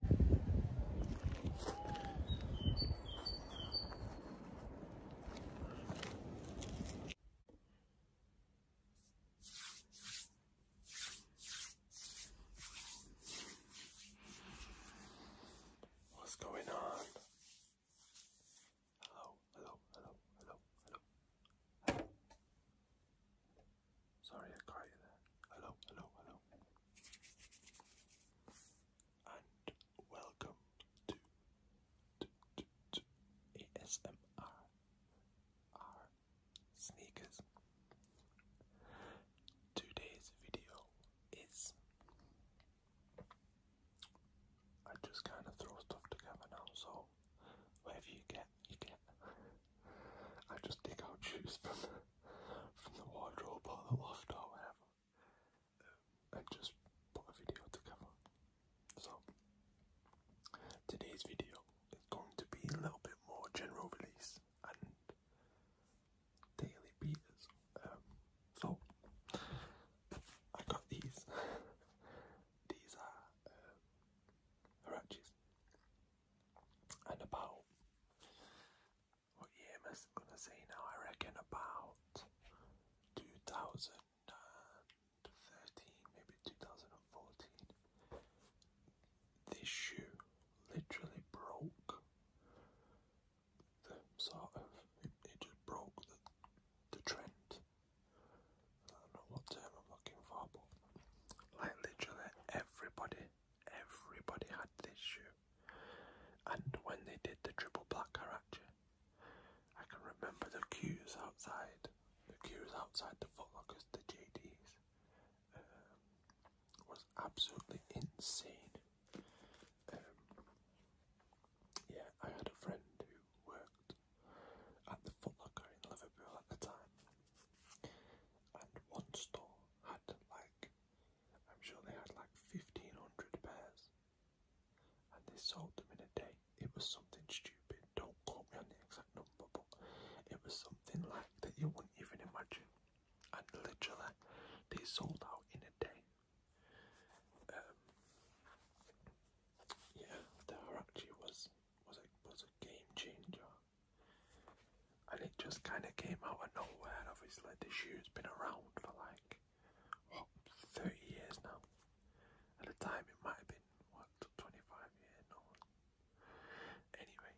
What's going on? Hello, hello, hello, hello, hello. Sorry, I caught you there. Hello, hello, hello. And welcome to, ASMR Sneakers. Today's video is. I just kind of throw stuff together now, so wherever you get idiot. I just dig out shoes from from the wardrobe or the loft or whatever. and just put a video together. So today's video is going to be a little bit more general release and daily beaters. Um, so I got these. these are um, and about what year gonna say now? I reckon about 2013, maybe 2014. This shoe literally broke the sort of it, just broke the, the trend. I don't know what term I'm looking for, like literally everybody, everybody had this shoe. And when they did the triple black karate, I can remember the queues outside, the queues outside the Footlockers, the JDs, um, was absolutely insane. Um, yeah, I had a friend who worked at the Footlocker in Liverpool at the time, and one store had like, I'm sure they had like 1500 pairs. And they sold them in a day. It was something stupid. Don't quote me on the exact number, but it was something like that you wouldn't even imagine. And literally, they sold out in a day. Um, yeah, there actually was was a was a game changer, and it just kind of came out of nowhere. Obviously, the shoe's been around for like what thirty years now. At the time, it might have been what twenty five years. No. Anyway,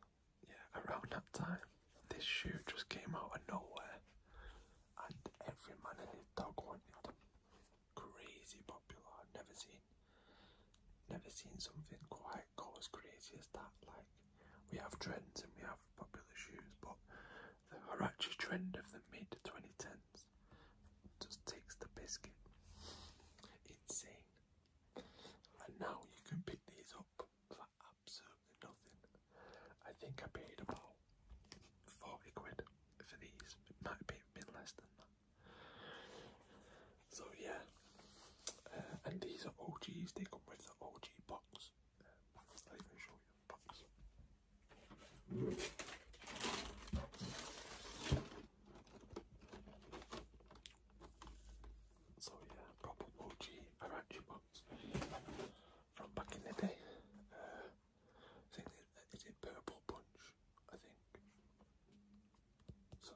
yeah, around that time, this shoe just came out of nowhere, and every man and his dog wanted them crazy popular. I've never seen, never seen something quite go as crazy as that. Like we have trends and we have popular shoes, but the Huarache trend of the mid 2010s just takes the biscuit. Insane. And now you can pick these up for absolutely nothing. I think I paid about 40 quid for these. It might have been less than that. So yeah, uh, and these are OGs. They come with the OG uh, box. So yeah, proper OG Arachi box from back in the day. Uh, it, purple punch I think. So,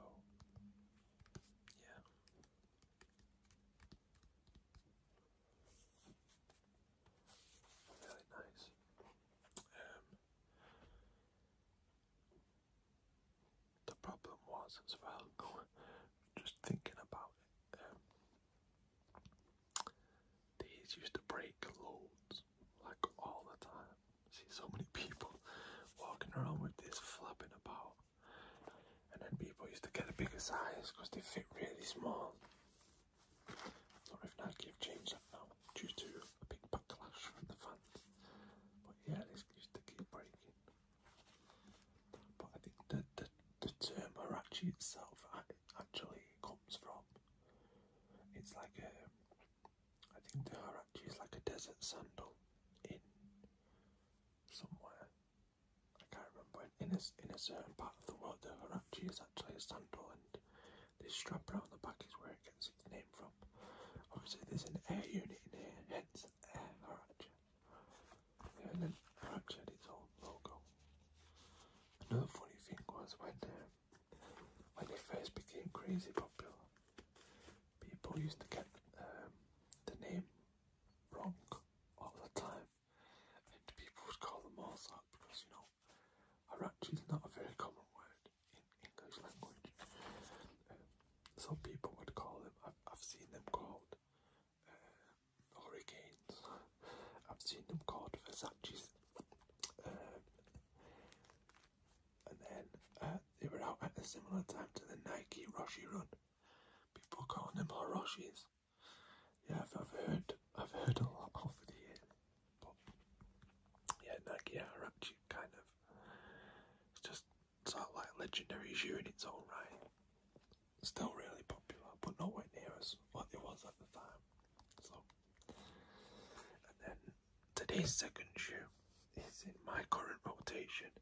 yeah. Really nice. Um, the problem was as well, just thinking about it, um, these used to break loads, like all the time. See so many people walking around with this flapping about. And then people used to get a bigger size because they fit really small. Not if Nike have changed that now due to a big backlash from the fans. But yeah, this used to keep breaking. But I think the, the, the term Harachi itself uh, actually comes from it's like a, I think the are is like a desert sandal in somewhere. I can't remember. In a, in a certain part of the world, the Huarachi is actually a sandal, and this strap around the back is where it gets its name from. Obviously, there's an air unit in here, hence Air Huarachi. and then Huarachi had its own logo. Another funny thing was when um, when they first became crazy popular, people used to get um, the name wrong all the time, and people would call them all that because you know, Arachi is not a very common word in English language. Um, Some people would call them. I've, seen them called uh, hurricanes I've seen them called Versace's. Um, and then uh, they were out at a similar time to the Nike Roshi run. People calling them Hiroshis. Yeah, I've, heard I've heard a lot over the years. But yeah, Nike are actually kind of it's just sort of like legendary shoe in its own right. Still really popular, but nowhere near as what it was at the time. So, and then today's second shoe is in my current rotation,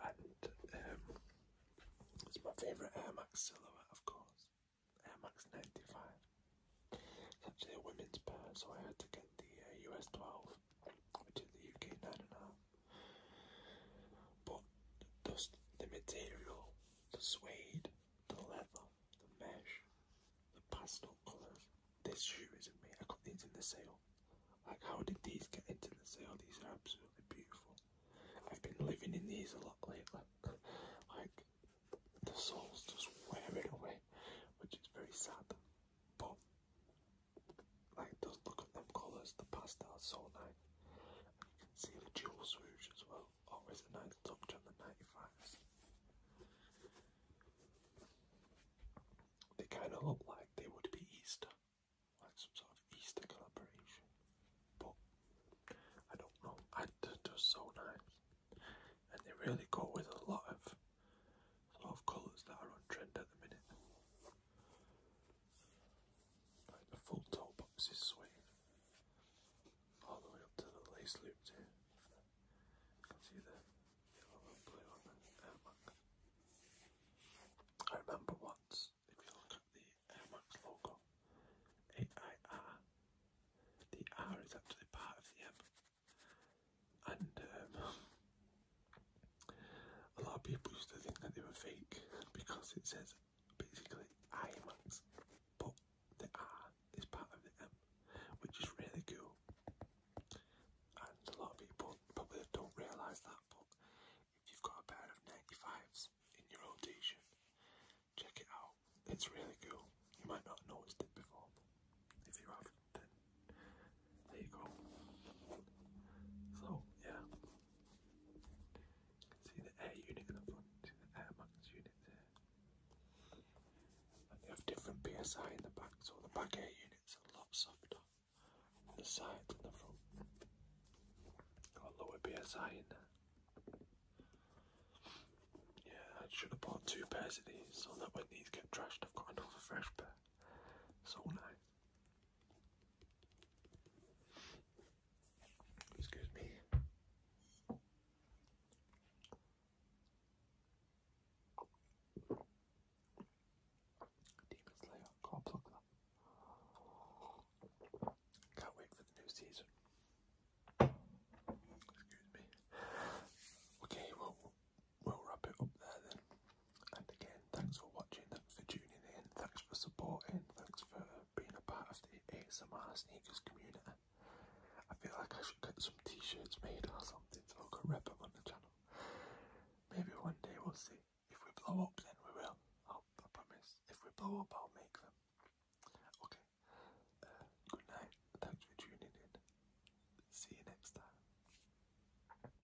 and um, it's my favourite Air Max silhouette, of course, Air Max 95. It's actually a women's pair, so I had to get the US uh, 12, which is the UK 9.5. But just the material the suede, the leather, the mesh, the pastel colours. This shoe isn't me. I got these in the sale. Like, how did these get into the sale? These are absolutely beautiful. I've been living in these a lot lately. like, the sole's just wearing away, which is very sad. But, like, those look at them colours. The pastel's so nice. You can see the dual swoosh as well. Always a nice touch on the 95s. They kind of look like they would be Easter, like some sort of Easter collaboration. But I don't know, I just are so nice, and they really go with a lot of sort of colours that are on trend at the minute. Like the full toe box is suede, all the way up to the lace loops here. You can see the blue on the Air I remember once, if you look at the Air logo, AIR, the R is actually part of the M. And um, a lot of people used to think that they were fake because it says basically IMAX, but the R is part of the M, which is really cool. And a lot of people probably don't realise that, but if you've got a pair of 95s in your rotation, check it out. It's really cool. You might not have noticed it before, but if you have, then there you go. So, yeah, See the air unit in the front, see the air unit there. And they have different PSI in the back, so the back air unit's a lot softer than the sides and the front. Got lower PSI Yeah, I should have bought two pairs of these so that when these get trashed, I've got another fresh pair. So nice. Excuse me. Demon Slayer, can't plug that. Can't wait for the new season. Excuse me. Okay, well, we'll wrap it up there then. And again, thanks for watching, thanks for tuning in, thanks for supporting, thanks for being a part of the ASMR sneakers community. I feel like I should get some t-shirts made or something so I can rep them on the channel. Maybe one day we'll see. If we blow up then we will. Oh, i promise. If we blow up I'll make them. Okay. Uh, good night. Thanks for tuning in. See you next time.